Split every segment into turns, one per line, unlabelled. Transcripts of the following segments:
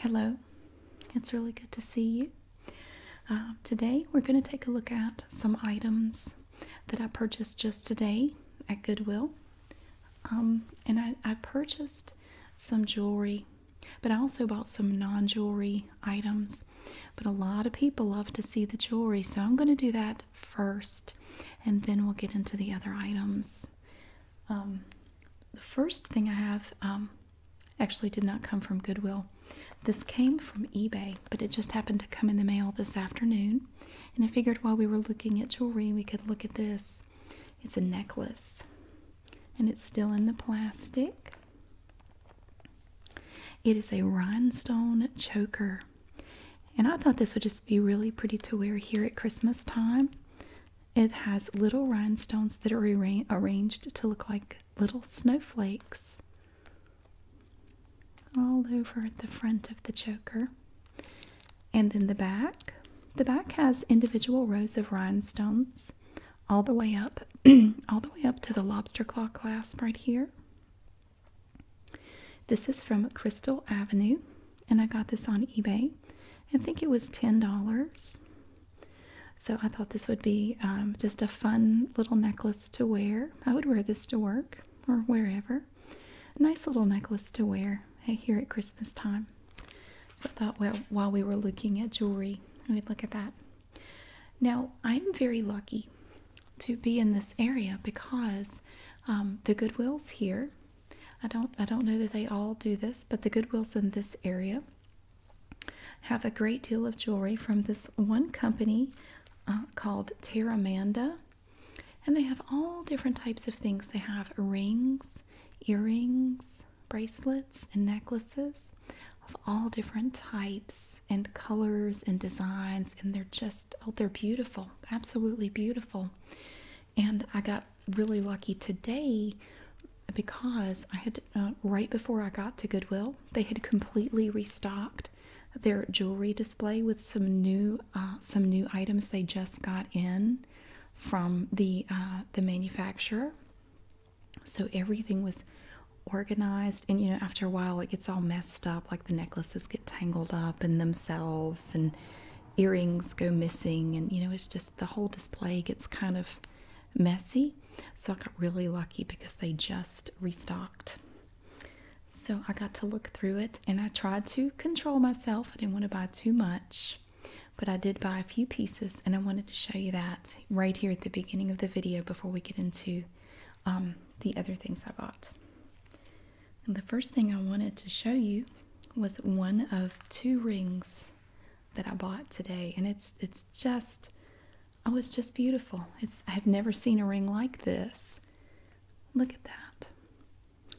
Hello, it's really good to see you. Um, today we're going to take a look at some items that I purchased just today at Goodwill. Um, and I purchased some jewelry, but I also bought some non jewelry items. But a lot of people love to see the jewelry, so I'm going to do that first and then we'll get into the other items. Um, the first thing I have um, actually did not come from Goodwill. This came from eBay, but it just happened to come in the mail this afternoon. And I figured while we were looking at jewelry, we could look at this. It's a necklace, and it's still in the plastic. It is a rhinestone choker. And I thought this would just be really pretty to wear here at Christmas time. It has little rhinestones that are arranged to look like little snowflakes all over the front of the choker. And then the back. The back has individual rows of rhinestones all the way up all the way up to the lobster claw clasp right here. This is from Crystal Avenue and I got this on eBay. I think it was $10. So I thought this would be um, just a fun little necklace to wear. I would wear this to work or wherever. Nice little necklace to wear eh, here at Christmas time. So I thought, well, while we were looking at jewelry, we'd look at that. Now, I'm very lucky to be in this area because um, the Goodwill's here I don't I don't know that they all do this, but the Goodwills in this area have a great deal of jewelry from this one company uh, called Terramanda, and they have all different types of things. They have rings, earrings, bracelets, and necklaces of all different types and colors and designs, and they're just oh, they're beautiful, absolutely beautiful and I got really lucky today because I had uh, right before I got to Goodwill, they had completely restocked their jewelry display with some new uh, some new items they just got in from the uh, the manufacturer. So everything was organized, and you know, after a while, it gets all messed up. Like the necklaces get tangled up in themselves, and earrings go missing, and you know, it's just the whole display gets kind of messy. So I got really lucky because they just restocked. So I got to look through it and I tried to control myself. I didn't want to buy too much, but I did buy a few pieces and I wanted to show you that right here at the beginning of the video before we get into um, the other things I bought. And the first thing I wanted to show you was one of two rings that I bought today and it's it's just oh it's just beautiful. It's I've never seen a ring like this. Look at that.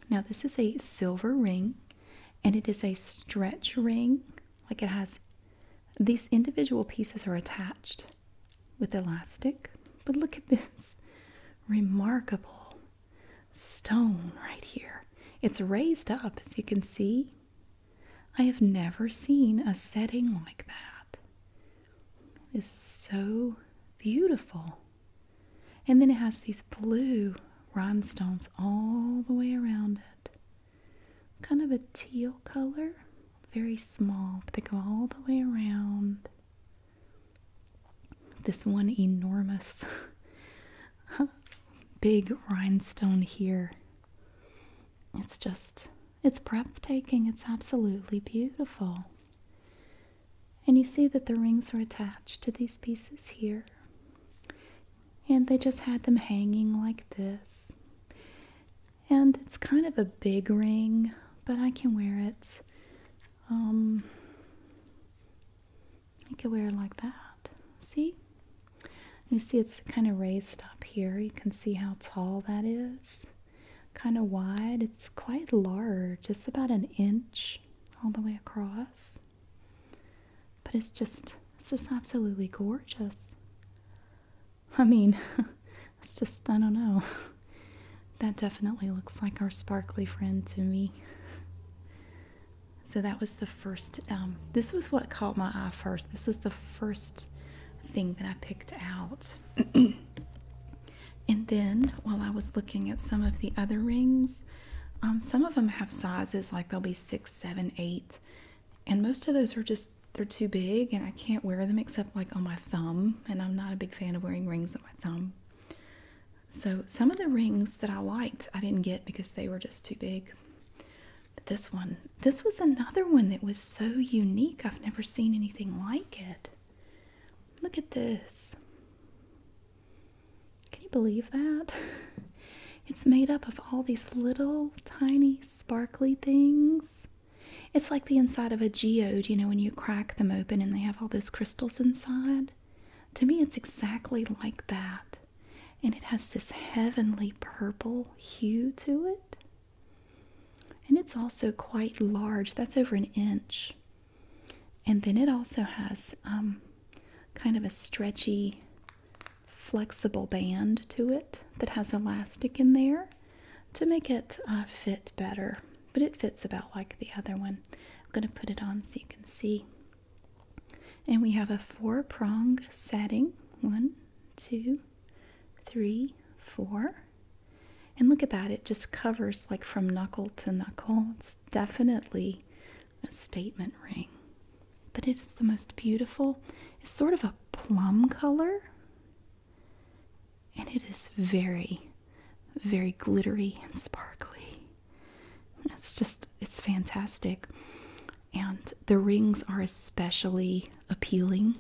Now this is a silver ring and it is a stretch ring. Like it has these individual pieces are attached with elastic. But look at this. Remarkable stone right here. It's raised up, as you can see. I have never seen a setting like that. It is so beautiful. And then it has these blue rhinestones all the way around it. Kind of a teal color. Very small, but they go all the way around this one enormous big rhinestone here. It's just, it's breathtaking. It's absolutely beautiful. And you see that the rings are attached to these pieces here. And they just had them hanging like this. And it's kind of a big ring, but I can wear it. Um, I could wear it like that. See? You see it's kind of raised up here. You can see how tall that is. Kind of wide. It's quite large. It's about an inch all the way across. But it's just it's just absolutely gorgeous. I mean, it's just I don't know. That definitely looks like our sparkly friend to me. So that was the first, um, this was what caught my eye first. This was the first thing that I picked out. and then while I was looking at some of the other rings, um, some of them have sizes like they'll be six, seven, eight. And most of those are just, they're too big and I can't wear them except like on my thumb. And I'm not a big fan of wearing rings on my thumb. So some of the rings that I liked I didn't get because they were just too big. But this one, this was another one that was so unique. I've never seen anything like it. Look at this. Can you believe that? It's made up of all these little tiny sparkly things. It's like the inside of a geode, you know, when you crack them open and they have all those crystals inside. To me, it's exactly like that. And it has this heavenly purple hue to it. And it's also quite large. That's over an inch. And then it also has um, kind of a stretchy, flexible band to it that has elastic in there to make it uh, fit better. But it fits about like the other one. I'm going to put it on so you can see. And we have a four prong setting one, two, three, four. And look at that, it just covers like from knuckle to knuckle. It's definitely a statement ring, but it is the most beautiful. It's sort of a plum color, and it is very, very glittery and sparkly. It's just, it's fantastic. And the rings are especially appealing.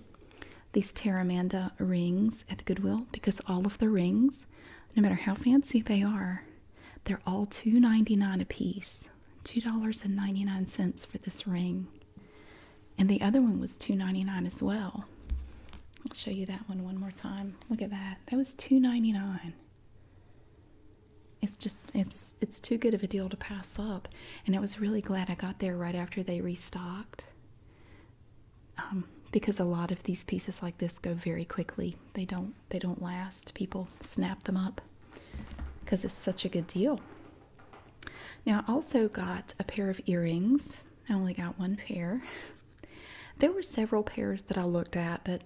These Terramanda rings at Goodwill, because all of the rings, no matter how fancy they are, they're all $2.99 a piece. $2.99 for this ring. And the other one was $2.99 as well. I'll show you that one one more time. Look at that. That was $2.99. It's just it's it's too good of a deal to pass up, and I was really glad I got there right after they restocked. Um, because a lot of these pieces like this go very quickly. They don't they don't last. People snap them up because it's such a good deal. Now I also got a pair of earrings. I only got one pair. There were several pairs that I looked at, but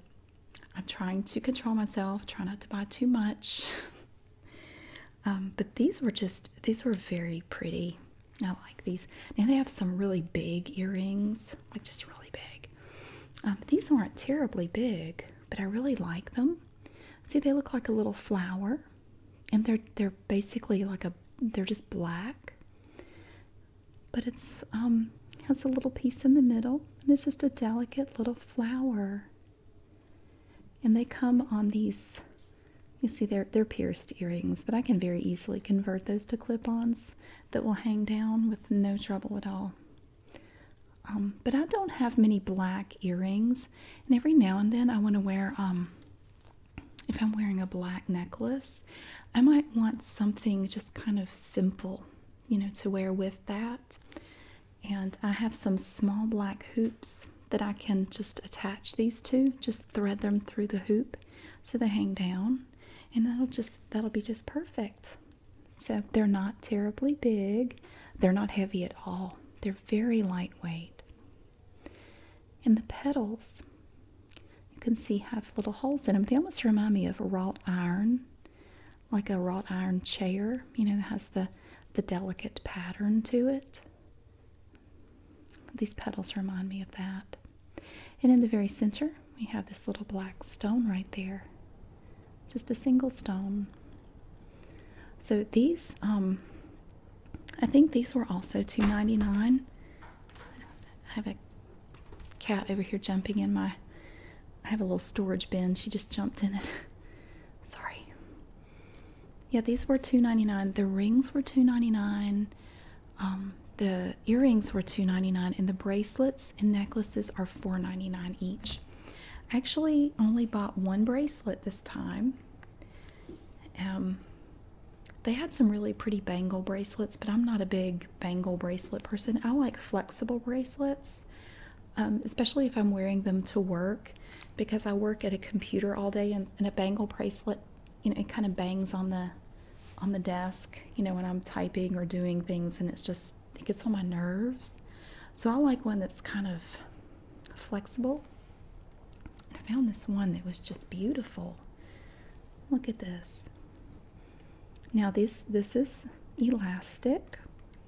I'm trying to control myself, try not to buy too much. Um, but these were just, these were very pretty. I like these. Now they have some really big earrings, like just really big. Um, these aren't terribly big, but I really like them. See, they look like a little flower, and they're they're basically like a they're just black but it's um has a little piece in the middle and it's just a delicate little flower and they come on these you see they're they're pierced earrings but i can very easily convert those to clip-ons that will hang down with no trouble at all um, but i don't have many black earrings and every now and then i want to wear um if i'm wearing a black necklace I might want something just kind of simple, you know, to wear with that. And I have some small black hoops that I can just attach these to, just thread them through the hoop so they hang down. And that'll just that'll be just perfect. So they're not terribly big. They're not heavy at all. They're very lightweight. And the petals, you can see have little holes in them. They almost remind me of wrought iron, like a wrought iron chair. You know, that has the the delicate pattern to it. These petals remind me of that. And in the very center, we have this little black stone right there. Just a single stone. So these, um, I think these were also two ninety nine. I have a cat over here jumping in my I have a little storage bin. She just jumped in it. Sorry. Yeah, these were two ninety nine. The rings were two ninety nine. Um, the earrings were two ninety nine, and the bracelets and necklaces are four ninety nine each. I actually only bought one bracelet this time. Um, they had some really pretty bangle bracelets, but I'm not a big bangle bracelet person. I like flexible bracelets, um, especially if I'm wearing them to work because I work at a computer all day and, and a bangle bracelet, you know, it kind of bangs on the on the desk, you know, when I'm typing or doing things and it's just it gets on my nerves. So I like one that's kind of flexible. I found this one that was just beautiful. Look at this. Now this this is elastic.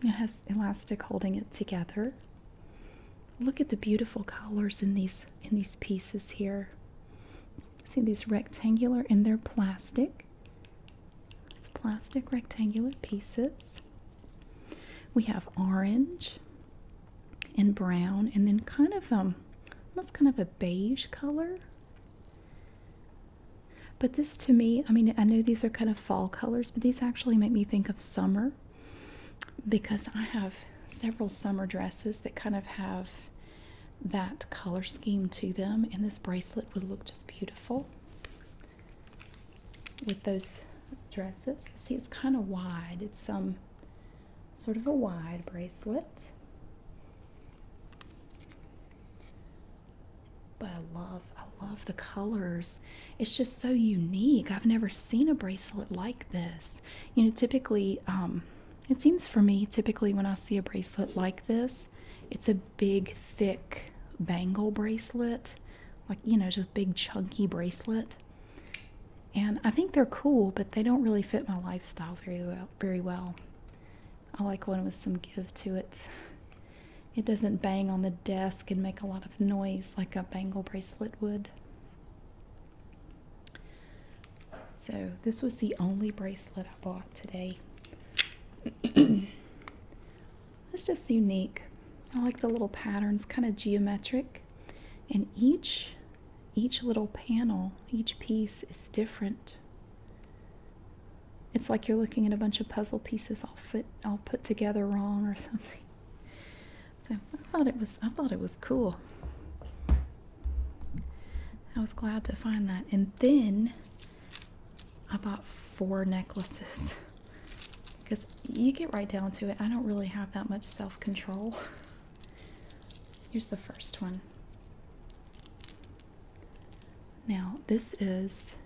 It has elastic holding it together. Look at the beautiful colors in these in these pieces here. See these rectangular and they're plastic. It's plastic rectangular pieces. We have orange and brown and then kind of um almost kind of a beige color. But this to me, I mean, I know these are kind of fall colors, but these actually make me think of summer because I have several summer dresses that kind of have that color scheme to them, and this bracelet would look just beautiful with those dresses. See, it's kind of wide. It's um sort of a wide bracelet. But I love, I love the colors. It's just so unique. I've never seen a bracelet like this. You know, typically, um, it seems for me, typically when I see a bracelet like this, it's a big, thick bangle bracelet, like, you know, just big, chunky bracelet. And I think they're cool, but they don't really fit my lifestyle very well very well. I like one with some give to it. It doesn't bang on the desk and make a lot of noise like a bangle bracelet would. So, this was the only bracelet I bought today. it's just unique. I like the little patterns, kind of geometric. And each each little panel, each piece is different. It's like you're looking at a bunch of puzzle pieces all fit all put together wrong or something. So I thought it was I thought it was cool. I was glad to find that. And then I bought four necklaces. Because you get right down to it, I don't really have that much self control. Here's the first one. Now, this is,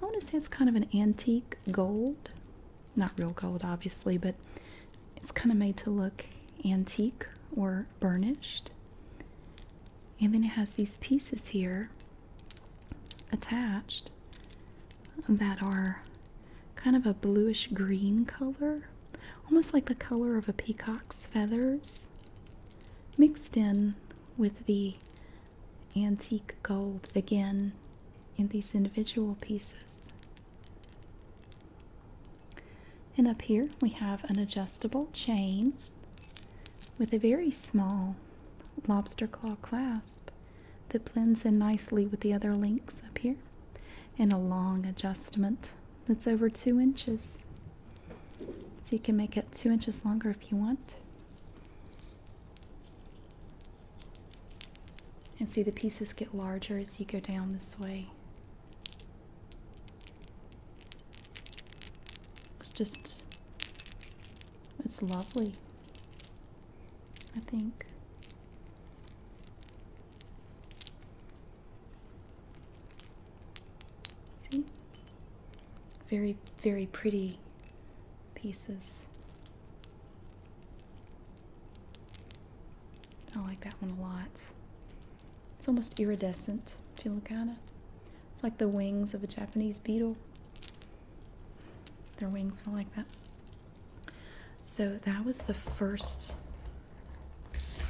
I want to say it's kind of an antique gold. Not real gold, obviously, but it's kind of made to look antique or burnished. And then it has these pieces here attached that are kind of a bluish green color almost like the color of a peacock's feathers, mixed in with the antique gold again in these individual pieces. And up here we have an adjustable chain with a very small lobster claw clasp that blends in nicely with the other links up here and a long adjustment that's over two inches. So you can make it two inches longer if you want. And see the pieces get larger as you go down this way. It's just, it's lovely, I think. See? Very, very pretty pieces. I like that one a lot. It's almost iridescent if you look at it. It's like the wings of a Japanese beetle. Their wings were like that. So that was the first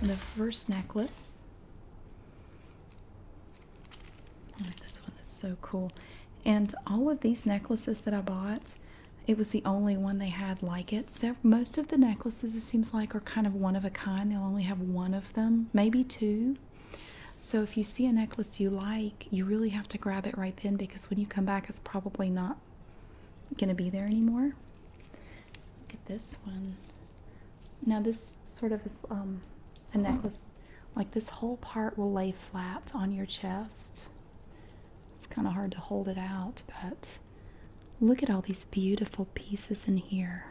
the first necklace. Oh, this one is so cool. And all of these necklaces that I bought, it was the only one they had like it. So most of the necklaces, it seems like, are kind of one of a kind. They'll only have one of them, maybe two. So if you see a necklace you like, you really have to grab it right then because when you come back, it's probably not going to be there anymore. Look at this one. Now this sort of is um, a necklace. Like this whole part will lay flat on your chest. It's kind of hard to hold it out, but look at all these beautiful pieces in here.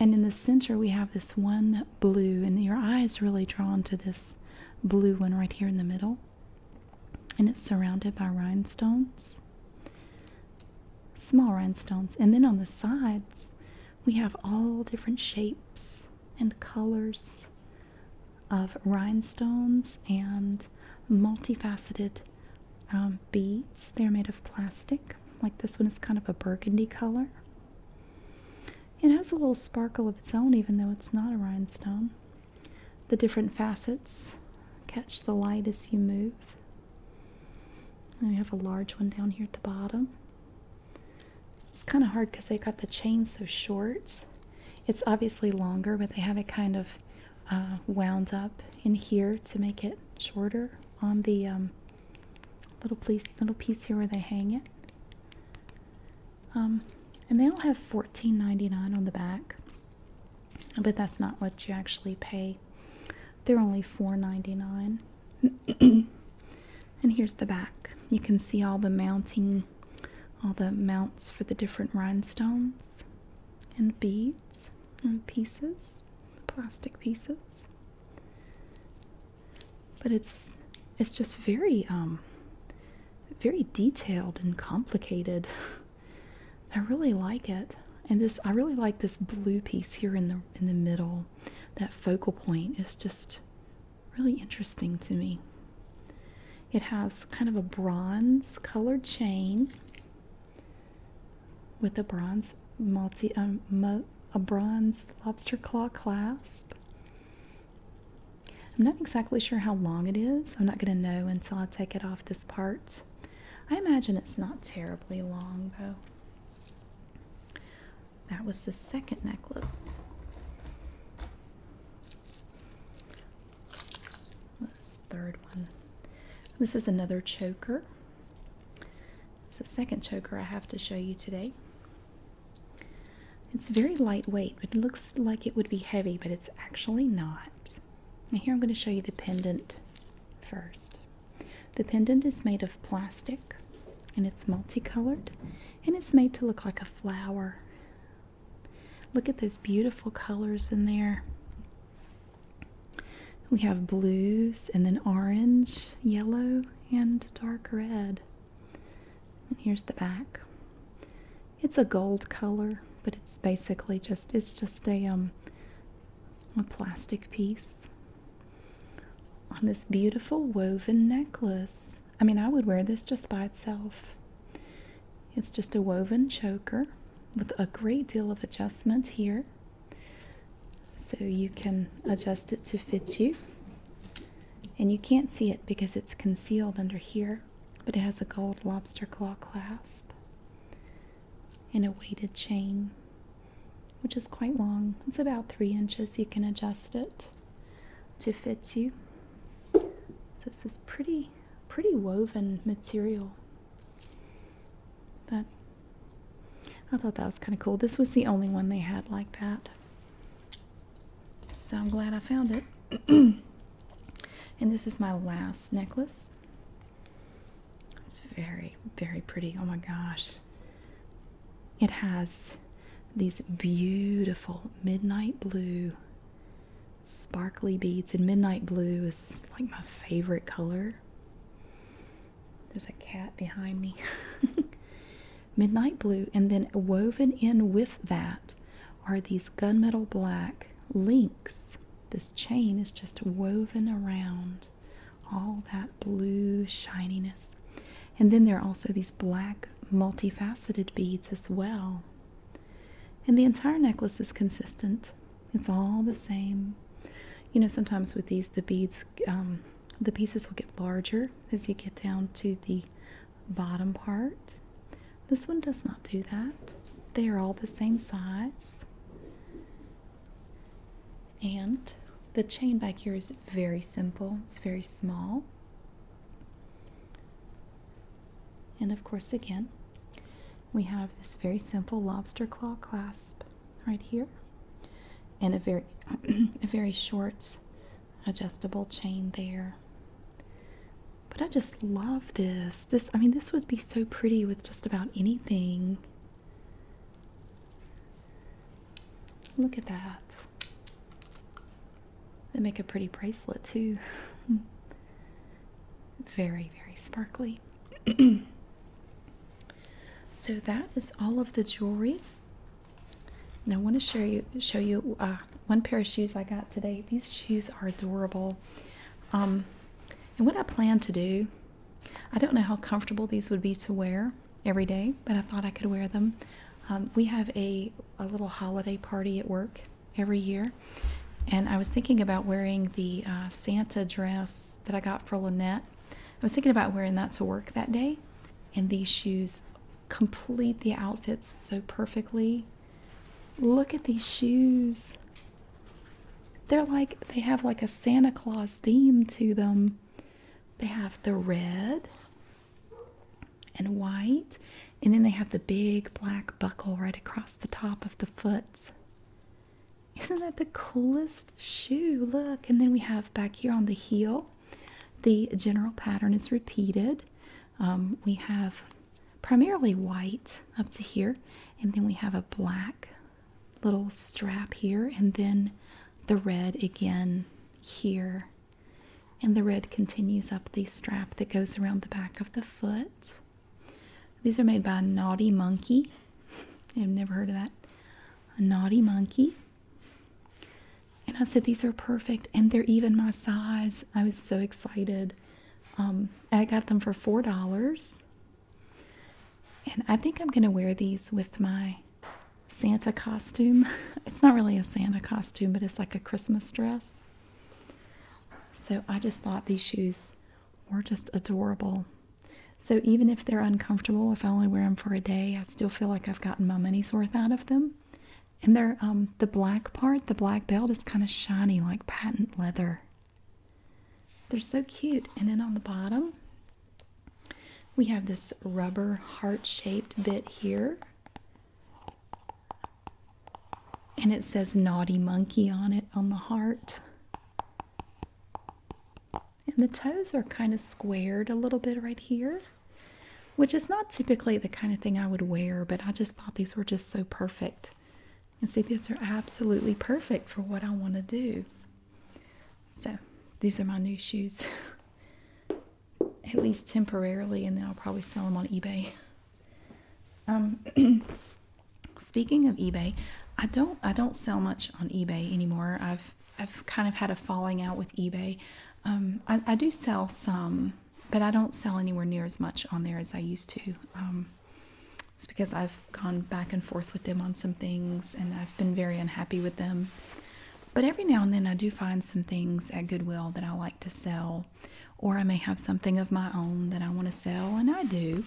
And in the center, we have this one blue, and your eye is really drawn to this blue one right here in the middle and it's surrounded by rhinestones, small rhinestones. And then on the sides, we have all different shapes and colors of rhinestones and multifaceted um, beads. They're made of plastic, like this one is kind of a burgundy color. It has a little sparkle of its own, even though it's not a rhinestone the different facets. Catch the light as you move. And we have a large one down here at the bottom. It's kind of hard because they've got the chain so short. It's obviously longer, but they have it kind of uh, wound up in here to make it shorter on the um, little piece, little piece here where they hang it. Um, and they all have $14.99 on the back, but that's not what you actually pay. They're only $4.99. and here's the back. You can see all the mounting, all the mounts for the different rhinestones and beads and pieces, plastic pieces. But it's it's just very um very detailed and complicated. I really like it. And this I really like this blue piece here in the in the middle. That focal point is just really interesting to me. It has kind of a bronze colored chain with a bronze multi um, a bronze lobster claw clasp I'm not exactly sure how long it is. I'm not going to know until I take it off this part. I imagine it's not terribly long though. That was the second necklace. This third one. This is another choker. It's a second choker I have to show you today. It's very lightweight, but it looks like it would be heavy, but it's actually not. And here I'm going to show you the pendant first. The pendant is made of plastic and it's multicolored and it's made to look like a flower. Look at those beautiful colors in there. We have blues and then orange, yellow, and dark red. And here's the back it's a gold color, but it's basically just it's just a um a plastic piece on this beautiful woven necklace. I mean, I would wear this just by itself. It's just a woven choker with a great deal of adjustment here. So you can adjust it to fit you. And you can't see it because it's concealed under here but it has a gold lobster claw clasp and a weighted chain, which is quite long. It's about three inches. You can adjust it to fit you. So this is pretty, pretty woven material. But I thought that was kind of cool. This was the only one they had like that. So I'm glad I found it. and this is my last necklace. It's very, very pretty. Oh my gosh. It has these beautiful midnight blue sparkly beads, and midnight blue is like my favorite color. There's a cat behind me. midnight blue, and then woven in with that are these gunmetal black links. This chain is just woven around all that blue shininess. And then there are also these black multifaceted beads as well. And the entire necklace is consistent. It's all the same. You know, sometimes with these, the beads, um, the pieces will get larger as you get down to the bottom part. This one does not do that. They are all the same size. And the chain back here is very simple, it's very small. And of course, again, we have this very simple lobster claw clasp right here and a very a very short adjustable chain there. But I just love this. This I mean this would be so pretty with just about anything. Look at that. They make a pretty bracelet too. very, very sparkly. so that is all of the jewelry. And I want to show you show you uh, one pair of shoes I got today. These shoes are adorable. Um, and what I plan to do, I don't know how comfortable these would be to wear every day, but I thought I could wear them. Um, we have a, a little holiday party at work every year, and I was thinking about wearing the uh, Santa dress that I got for Lynette. I was thinking about wearing that to work that day, and these shoes complete the outfits so perfectly. Look at these shoes. They're like they have like a Santa Claus theme to them. They have the red and white, and then they have the big black buckle right across the top of the foot. Isn't that the coolest shoe? Look, and then we have back here on the heel, the general pattern is repeated. Um, we have primarily white up to here, and then we have a black little strap here, and then the red again here. And the red continues up the strap that goes around the back of the foot. These are made by Naughty Monkey. I've never heard of that. A Naughty Monkey. And I said, These are perfect, and they're even my size. I was so excited. Um, I got them for $4. And I think I'm going to wear these with my Santa costume. it's not really a Santa costume, but it's like a Christmas dress. So I just thought these shoes were just adorable. So even if they're uncomfortable, if I only wear them for a day, I still feel like I've gotten my money's worth out of them and they're um the black part the black belt is kind of shiny like patent leather they're so cute and then on the bottom we have this rubber heart-shaped bit here and it says naughty monkey on it on the heart and the toes are kind of squared a little bit right here which is not typically the kind of thing I would wear, but I just thought these were just so perfect. And see, these are absolutely perfect for what I want to do. So, these are my new shoes, at least temporarily, and then I'll probably sell them on eBay. Um, speaking of eBay, I don't I don't sell much on eBay anymore. I've I've kind of had a falling out with eBay. Um, I, I do sell some but I don't sell anywhere near as much on there as I used to. it's um, because I've gone back and forth with them on some things and I've been very unhappy with them. But every now and then I do find some things at Goodwill that I like to sell, or I may have something of my own that I want to sell, and I do.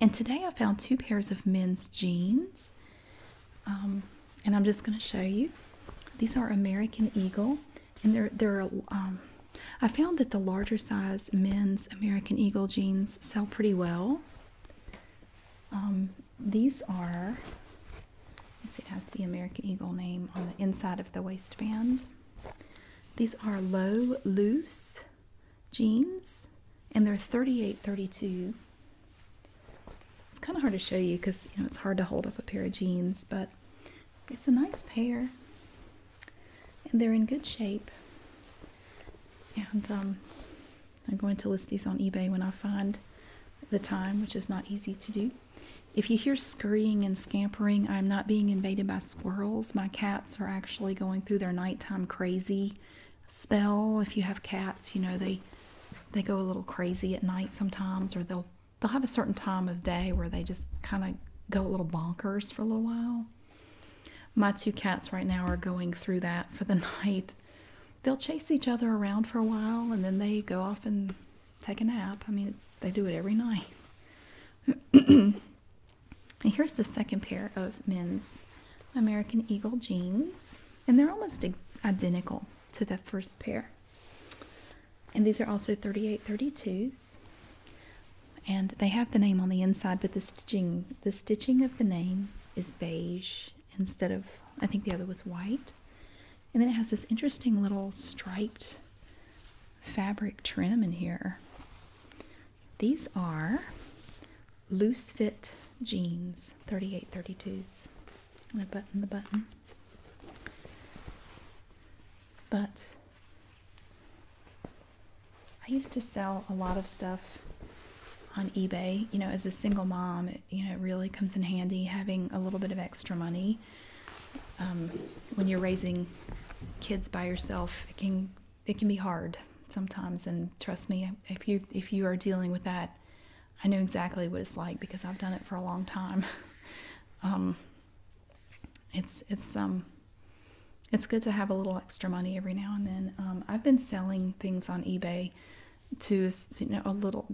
And today I found two pairs of men's jeans. Um, and I'm just going to show you. These are American Eagle, and they're they're. Um, I found that the larger size men's American Eagle jeans sell pretty well. Um, these are. It has the American Eagle name on the inside of the waistband. These are low loose jeans, and they're 38 32. It's kind of hard to show you because you know it's hard to hold up a pair of jeans, but it's a nice pair, and they're in good shape. And um, I'm going to list these on eBay when I find the time, which is not easy to do. If you hear scurrying and scampering, I'm not being invaded by squirrels. My cats are actually going through their nighttime crazy spell. If you have cats, you know they they go a little crazy at night sometimes, or they'll they'll have a certain time of day where they just kind of go a little bonkers for a little while. My two cats right now are going through that for the night. They'll chase each other around for a while and then they go off and take a nap. I mean, it's, they do it every night. and here's the second pair of men's American Eagle jeans, and they're almost identical to the first pair. And these are also 3832s. And they have the name on the inside, but the stitching the stitching of the name is beige instead of I think the other was white. And then it has this interesting little striped fabric trim in here. These are loose fit jeans, 3832s and I button the button. But I used to sell a lot of stuff on eBay. You know, as a single mom, you know, it really comes in handy having a little bit of extra money. Um, when you're raising kids by yourself, it can it can be hard sometimes. And trust me, if you if you are dealing with that, I know exactly what it's like because I've done it for a long time. Um, it's it's um it's good to have a little extra money every now and then. Um, I've been selling things on eBay to you know a little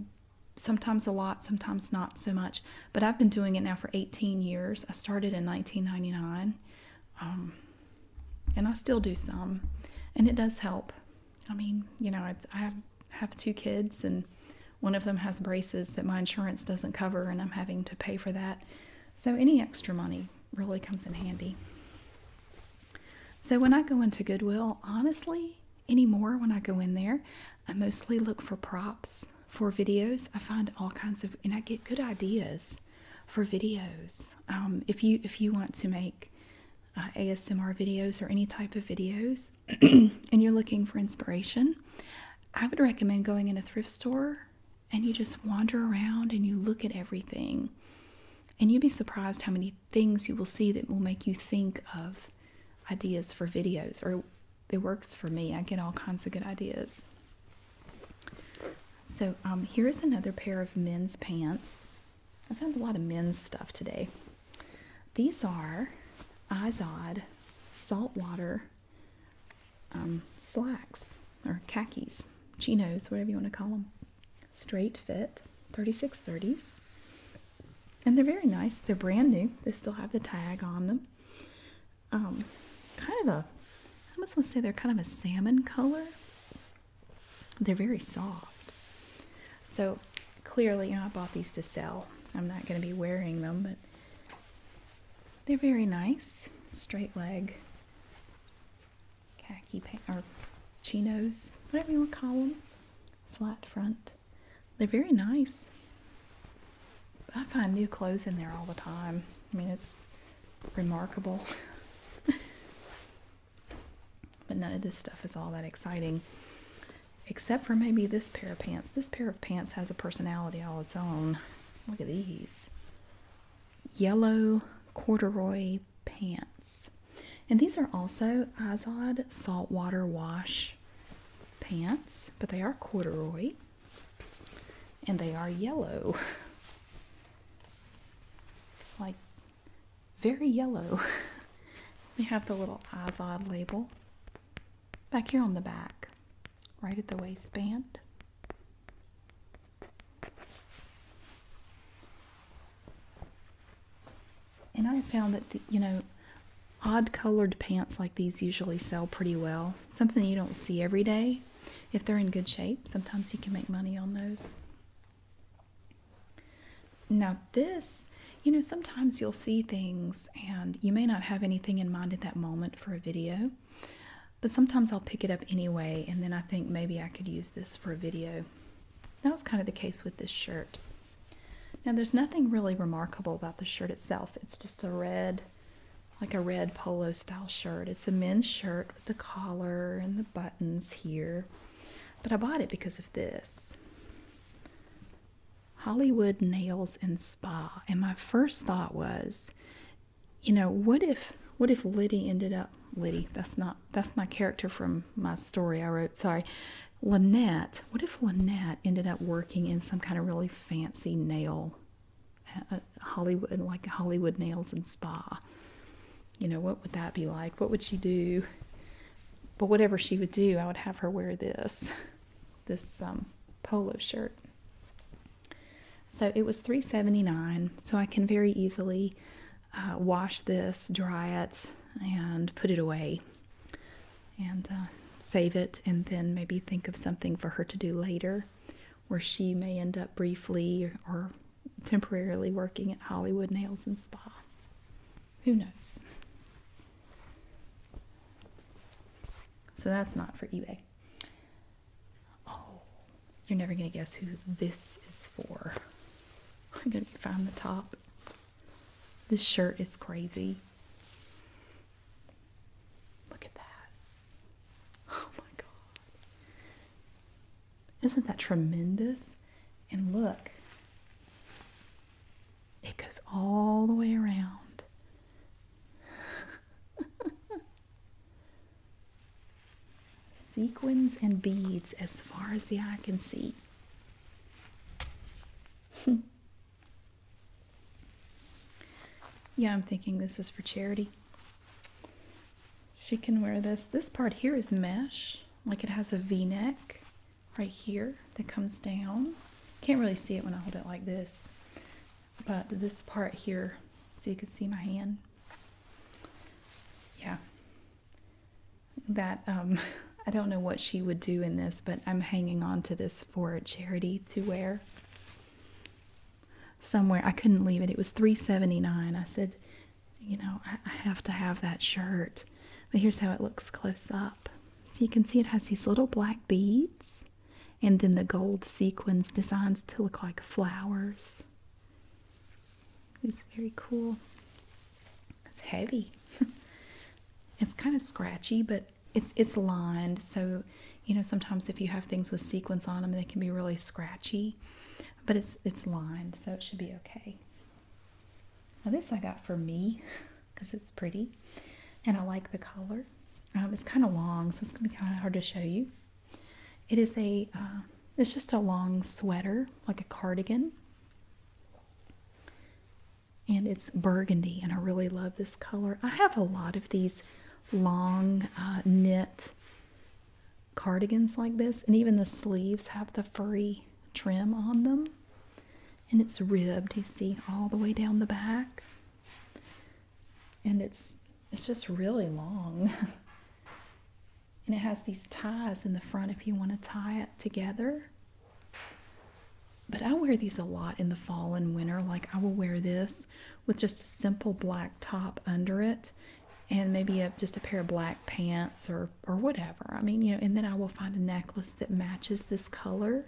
sometimes a lot, sometimes not so much, but I've been doing it now for 18 years. I started in 1999. Um, and I still do some, and it does help. I mean, you know, I, I have two kids, and one of them has braces that my insurance doesn't cover, and I'm having to pay for that. So, any extra money really comes in handy. So, when I go into Goodwill, honestly, anymore when I go in there, I mostly look for props for videos. I find all kinds of, and I get good ideas for videos. Um, if you if you want to make uh, ASMR videos or any type of videos, and you're looking for inspiration, I would recommend going in a thrift store and you just wander around and you look at everything. And you'd be surprised how many things you will see that will make you think of ideas for videos. Or it works for me, I get all kinds of good ideas. So, um, here is another pair of men's pants. I found a lot of men's stuff today. These are Izod saltwater um, slacks or khakis, chinos, whatever you want to call them. Straight fit, 3630s. And they're very nice. They're brand new. They still have the tag on them. Um, kind of a, I must want to say they're kind of a salmon color. They're very soft. So clearly, I bought these to sell. I'm not going to be wearing them, but they're very nice. Straight leg khaki or chinos, whatever you want to call them. Flat front. They're very nice. I find new clothes in there all the time. I mean, it's remarkable. But none of this stuff is all that exciting, except for maybe this pair of pants. This pair of pants has a personality all its own. Look at these yellow corduroy pants. And these are also Izod saltwater wash pants, but they are corduroy and they are yellow. Like very yellow. we have the little Izod label back here on the back, right at the waistband. And I found that, you know, odd colored pants like these usually sell pretty well. Something you don't see every day. If they're in good shape, sometimes you can make money on those. Now, this, you know, sometimes you'll see things and you may not have anything in mind at that moment for a video, but sometimes I'll pick it up anyway and then I think maybe I could use this for a video. That was kind of the case with this shirt. Now, there's nothing really remarkable about the shirt itself, it's just a red like a red polo style shirt. It's a men's shirt with the collar and the buttons here. But I bought it because of this. Hollywood nails and spa. And my first thought was, you know, what if what if Liddy ended up Liddy, that's not that's my character from my story I wrote, sorry. Lynette, what if Lynette ended up working in some kind of really fancy nail uh, Hollywood like Hollywood nails and spa? you know, what would that be like? What would she do? But whatever she would do, I would have her wear this, this um, polo shirt. So it was three seventy nine. So I can very easily uh, wash this, dry it, and put it away, and uh, save it, and then maybe think of something for her to do later, where she may end up briefly or temporarily working at Hollywood Nails and Spa. Who knows? So that's not for eBay. Oh, you're never going to guess who this is for. I'm going to find the top. This shirt is crazy. Look at that. Oh my god. Isn't that tremendous? And look, it goes all the way around. Sequins and beads as far as the eye can see. yeah, I'm thinking this is for charity. She can wear this. This part here is mesh like it has a v-neck right here that comes down can't really see it when I hold it like this but this part here so you can see my hand yeah that um, I don't know what she would do in this but I'm hanging on to this for a charity to wear somewhere I couldn't leave it it was 379 I said you know, I, have to have that shirt. But here's how it looks close up. So you can see it has these little black beads and then the gold sequins designed to look like flowers. It's very cool. It's heavy. it's kind of scratchy, but it's it's lined. So, you know, sometimes if you have things with sequins on them, they can be really scratchy. But it's it's lined, so it should be okay this I got for me because it's pretty and I like the color. Um, it's kind of long, so it's gonna be kind of hard to show you. It is a, uh, it's just a long sweater, like a cardigan. And it's burgundy, and I really love this color. I have a lot of these long uh, knit cardigans like this, and even the sleeves have the furry trim on them. And it's ribbed, you see, all the way down the back. And it's it's just really long. and it has these ties in the front if you want to tie it together. But I wear these a lot in the fall and winter. Like I will wear this with just a simple black top under it and maybe a, just a pair of black pants or or whatever. I mean, you know, and then I will find a necklace that matches this color.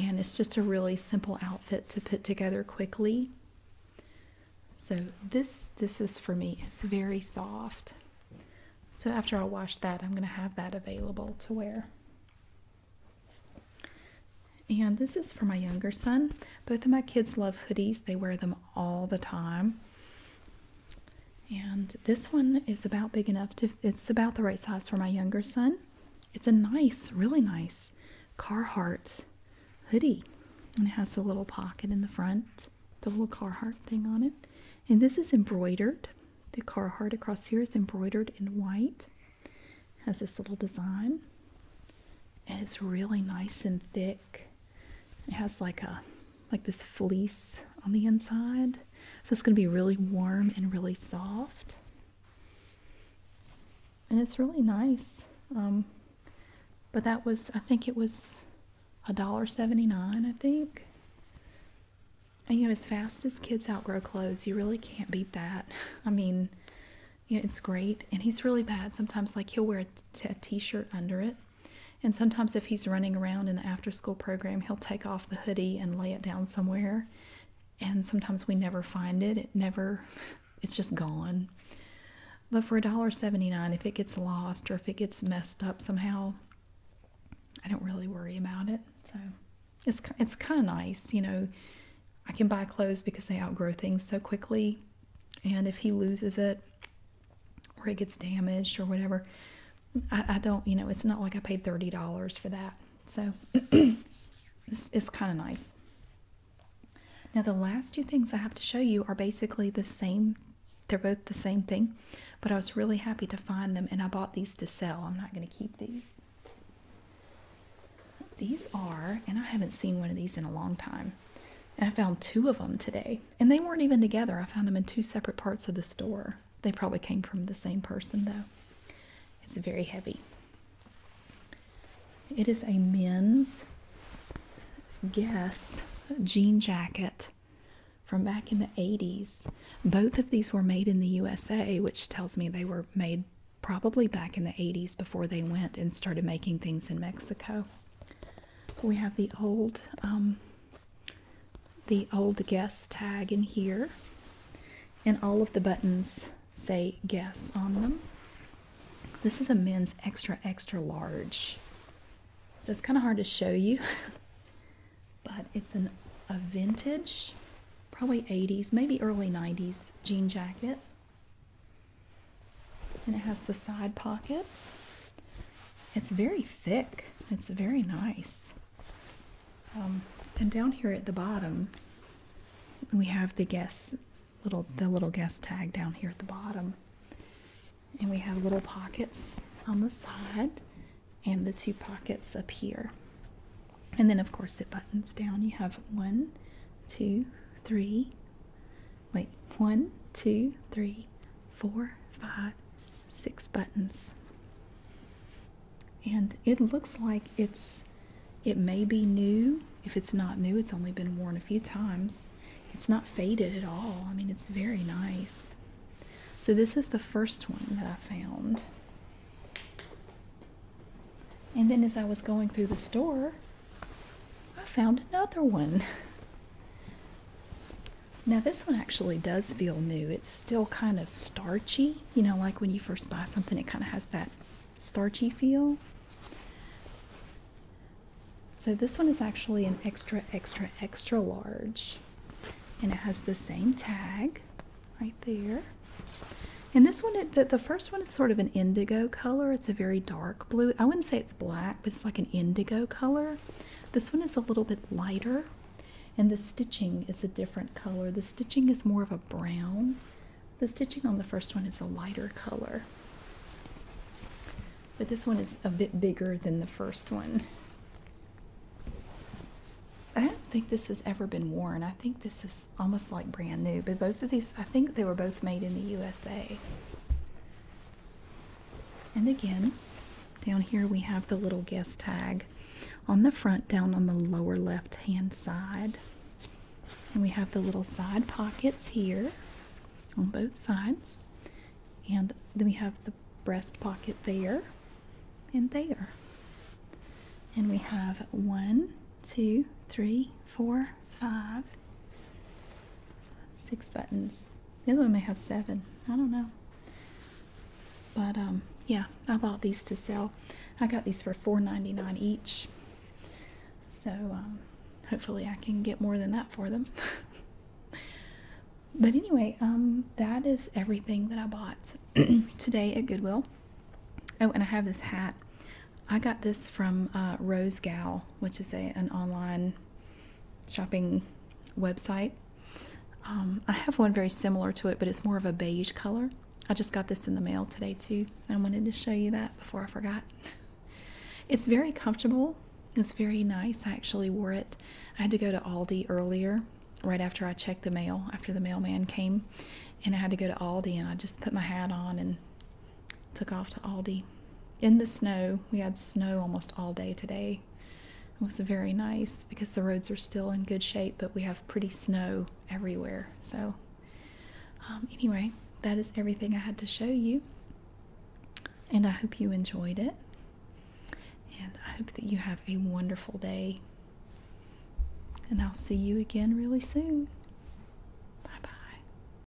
And it's just a really simple outfit to put together quickly. So this this is for me. It's very soft. So after I wash that, I'm going to have that available to wear. And this is for my younger son. Both of my kids love hoodies. They wear them all the time. And this one is about big enough to, it's about the right size for my younger son. It's a nice, really nice Carhartt hoodie. And it has the little pocket in the front, the little Carhartt thing on it. And this is embroidered. The Carhartt across here is embroidered in white. has this little design. And it's really nice and thick it has like a like this fleece on the inside. So it's going to be really warm and really soft. And it's really nice. Um, but that was, I think it was a dollar seventy nine. I think. And you know, as fast as kids outgrow clothes, you really can't beat that. I mean, yeah, it's great. And he's really bad. Sometimes, like, he'll wear a shirt under it and sometimes, if he's running around in the after school program, he'll take off the hoodie and lay it down somewhere. And sometimes we never find it, it never, it's just gone. But for a dollar seventy-nine, if it gets lost or if it gets messed up somehow, I don't really worry about it. So it's, it's kind of nice, you know. I can buy clothes because they outgrow things so quickly. And if he loses it, or it gets damaged or whatever. I, don't, you know, it's not like I paid $30 for that. So it's kind of nice. Now, the last two things I have to show you are basically the same. They're both the same thing, but I was really happy to find them and I bought these to sell. I'm not going to keep these. These are, and I haven't seen one of these in a long time. And I found two of them today. And they weren't even together. I found them in two separate parts of the store. They probably came from the same person, though. It's very heavy. It is a men's guess jean jacket from back in the 80s. Both of these were made in the USA, which tells me they were made probably back in the 80s before they went and started making things in Mexico. We have the old um, the old guess tag in here, and all of the buttons say guess on them. This is a men's extra extra large, so it's kind of hard to show you, but it's a vintage, probably 80s, maybe early 90s jean jacket and it has the side pockets. It's very thick. It's very nice. Um, and down here at the bottom, we have the guest little the little guest tag down here at the bottom, and we have little pockets on the side, and the two pockets up here. And then of course it buttons down. You have one, two, three, Wait, one, two, three, four, five, six buttons. And it looks like it's, it may be new. If it's not new, it's only been worn a few times. It's not faded at all. I mean, it's very nice. So this is the first one that I found. And then as I was going through the store, I found another one. Now, this one actually does feel new. It's still kind of starchy. You know, like when you first buy something, it kind of has that starchy feel. So, this one is actually an extra, extra, extra large. And it has the same tag right there. And this one, the, first one is sort of an indigo color. It's a very dark blue. I wouldn't say it's black but it's like an indigo color. This one is a little bit lighter, and the stitching is a different color. The stitching is more of a brown. The stitching on the first one is a lighter color. But this one is a bit bigger than the first one. I don't think this has ever been worn. I think this is almost like brand new, but both of these, I think they were both made in the USA. And again, down here we have the little guest tag on the front, down on the lower left hand side. And we have the little side pockets here on both sides. And then we have the breast pocket there and there. And we have one, two, three, four, Five, six buttons. The other one may have seven. I don't know. But um, yeah, I bought these to sell. I got these for $4.99 each. So um, hopefully I can get more than that for them. but anyway, um, that is everything that I bought today at Goodwill. Oh, and I have this hat. I got this from uh, Rose Gal which is a, an online shopping website. Um, I have one very similar to it, but it's more of a beige color. I just got this in the mail today too. I wanted to show you that before I forgot. It's very comfortable. It's very nice. I actually wore it. I had to go to Aldi earlier, right after I checked the mail, after the mailman came, and I had to go to Aldi and I just put my hat on and took off to Aldi. In the snow, we had snow almost all day today. It was very nice because the roads are still in good shape, but we have pretty snow everywhere. So, um, anyway, that is everything I had to show you. And I hope you enjoyed it. And I hope that you have a wonderful day. And I'll see you again really soon. Bye bye.